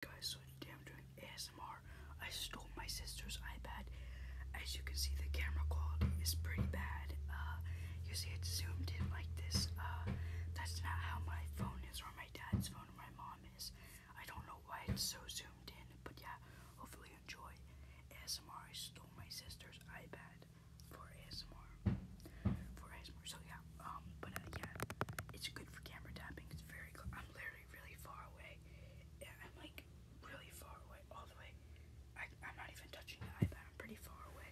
guys, so today I'm doing ASMR. I stole my sister's iPad. As you can see, the camera quality is pretty bad. Uh, you see, it's zoomed in like this. Uh, that's not how my phone is, or my dad's phone, or my mom's. I don't know why it's so zoomed in, but yeah, hopefully you enjoy. ASMR, I stole my sister's iPad for ASMR. For ASMR. So yeah, um, but uh, yeah, it's good for camera tapping. It's very. I'm literally really far away. I'm like really far away, all the way. I, I'm not even touching the iPad. I'm pretty far away.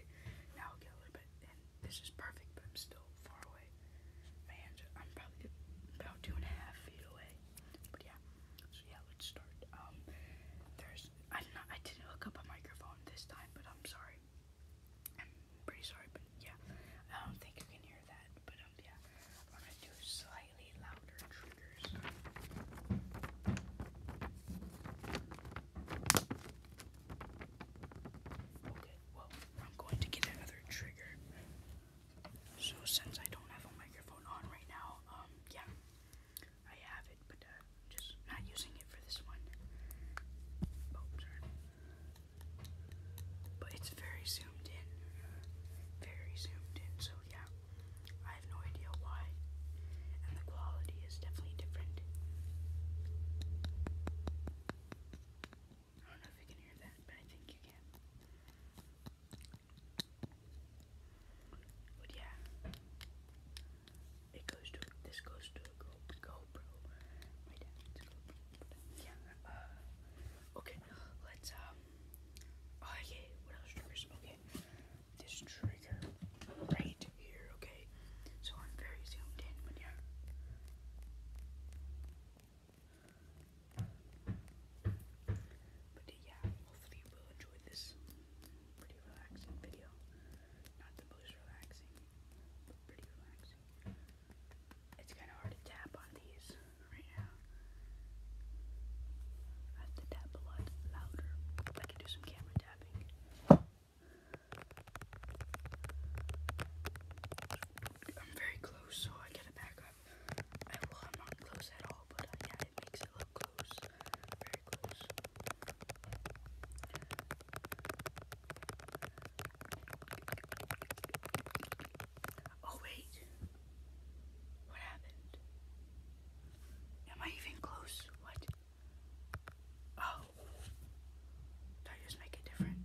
Now I'll get a little bit, this is perfect, but I'm still far away. My hands. I'm probably about two and a half feet away. But yeah. So yeah, let's start. Um, there's. I did not. I didn't hook up a microphone this time, but I'm sorry. I'm pretty sorry, but yeah, I don't think you can hear that, but um, yeah, I'm gonna do slightly louder triggers. Okay, well, I'm going to get another trigger. So since I don't have a microphone on right now, um, yeah, I have it, but uh, just not using it for this one. Oh, sorry. But it's very zoomed in. Very zoomed in, so yeah. I have no idea why. And the quality is definitely different. I don't know if you can hear that, but I think you can. But yeah. It goes to this goes to a Go GoPro. Yeah. Uh, okay. Let's um. Oh What else triggers? Okay. This trigger right here. Okay. So I'm very zoomed in, but yeah. But yeah, hopefully you will enjoy this pretty relaxing video. Not the most relaxing, but pretty relaxing. It's kind of hard to tap on these right now. I have to tap a lot louder. I can do some camera tapping. I'm very close, so I get to back up. I, well, I'm not close at all, but uh, yeah, it makes it look close. Oh, wait. What happened? Am I even close? What? Oh. Did I just make it different?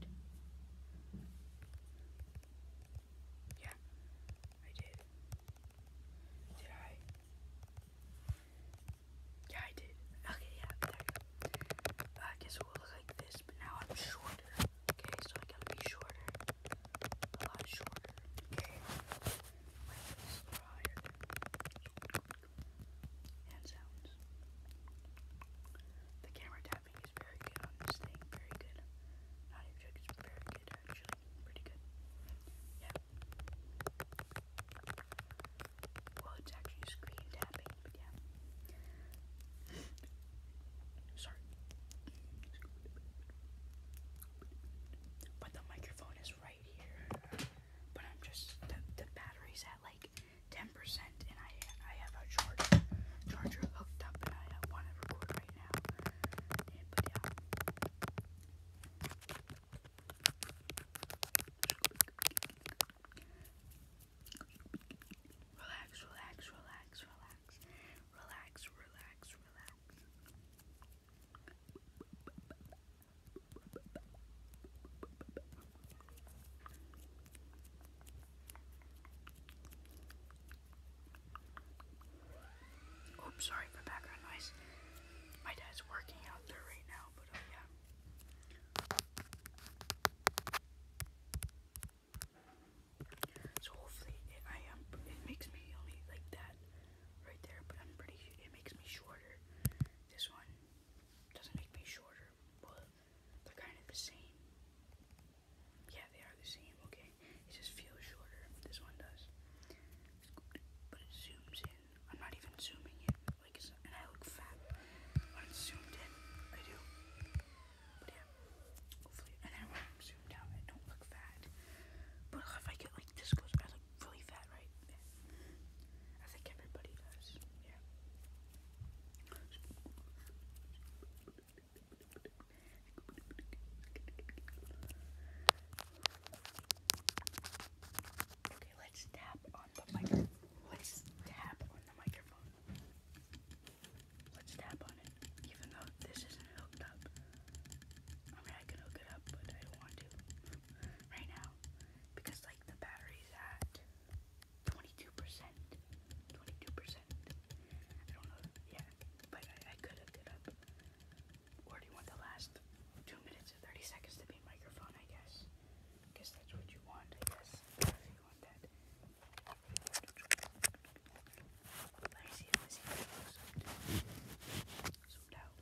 Yeah, I did. Did Yeah, I did. Okay, yeah, you uh, I guess it will look like this, but now I'm shorter. Okay, so I gotta be shorter. A lot shorter. Okay. My voice is higher. And sounds. The camera tapping is very good on this thing. Very good. Not even joking, it's very good actually. Pretty good. Yeah. Well, it's actually screen tapping, but yeah. Sorry. But the microphone is right here. But I'm just the, the battery's at like 10%, and I I have a charger charger hooked up, and I want to record right right now. Relax, relax, relax, relax. Relax, relax, relax. Oops, sorry for background noise. My dad's working out there right now, but uh, yeah. So hopefully I am. it makes me only like that right there, but I'm pretty. It makes me shorter. This one doesn't make me shorter, but they're kind of the same. Yeah, they are the same, okay. It just feels shorter. This one does. But it zooms in. I'm not even zooming in. Like and I look fat when it's zoomed in. I do. yeah. Hopefully. And i zoomed out, I don't look fat. But if I get like this close, I look really fat, right? Yeah. I think everybody does. Yeah. Okay, let's tap on the microphone. Let's tap on the microphone. Let's tap on it, even though this isn't hooked up. I mean, I can hook it up, but I don't want to right now because, like, the battery's at 22%. 22%. I don't know. Yeah, but I, could look it up. Or the last 2 minutes and 30 seconds to be microphone, I guess? guess that's what you want, I guess. you want that. Let me see if this zoomed out.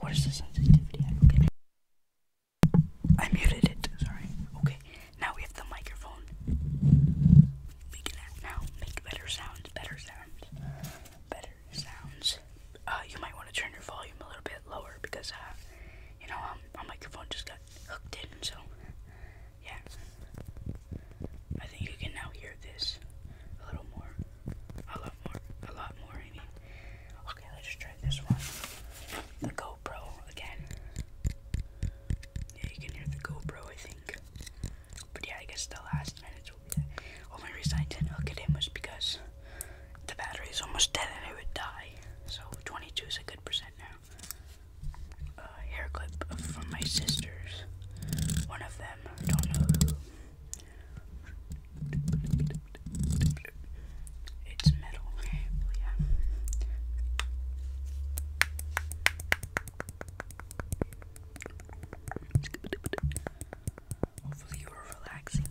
What is the sensitivity? I don't get it. I muted it. Sorry. Okay. Now we have the microphone. We can now make better sounds. Better sounds. Better sounds. Uh, you might want to turn your volume a little bit lower because uh, you know, um, my microphone just got hooked in. So, yeah. I think you can now hear this a little more. A lot more. A lot more, I mean. Okay, let's try this one. The GoPro again. Yeah, you can hear the GoPro, I think. But yeah, I guess the last minute. will be the only reason I did was because the battery is almost dead and it would die. So 22 is a good percent now. A uh, hair clip from my sisters. One of them, I don't know who. It's metal, yeah. Hopefully, you are relaxing.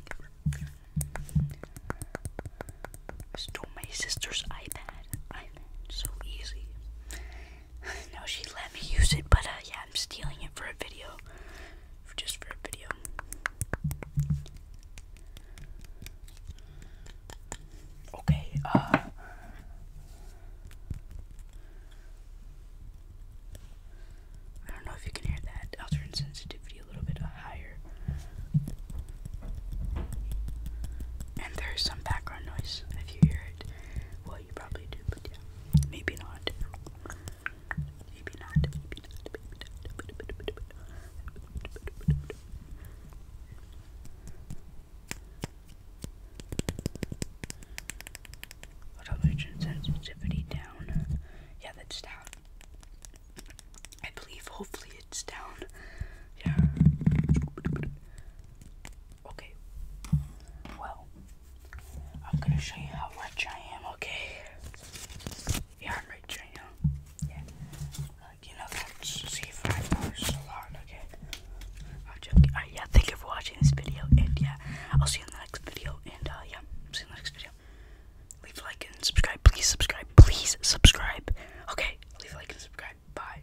stole my sister's iPad, so easy no, she let me use it, but uh, yeah, I'm stealing it for a video. just for a video. Okay, uh, I don't know if you can hear that. I'll turn sensitivity a little bit uh, higher. And there's some background noise if you hear it. Well, you probably do, but yeah. Maybe not. Maybe not. Maybe not. Maybe not. Television sensitivity down. Yeah, that's down. I believe, hopefully, it's down. Yeah. Okay. Well, I'm gonna show you how rich I am, okay? Yeah, I'm rich right now. Yeah. Like, you know, that's see five dollars is a lot, okay? I'm joking. Alright, yeah, thank you for watching this video, and yeah, I'll see you in the next video, and uh, yeah, see you in the next video. Leave a like and subscribe, please subscribe, please subscribe. Okay, leave a like and subscribe. Bye.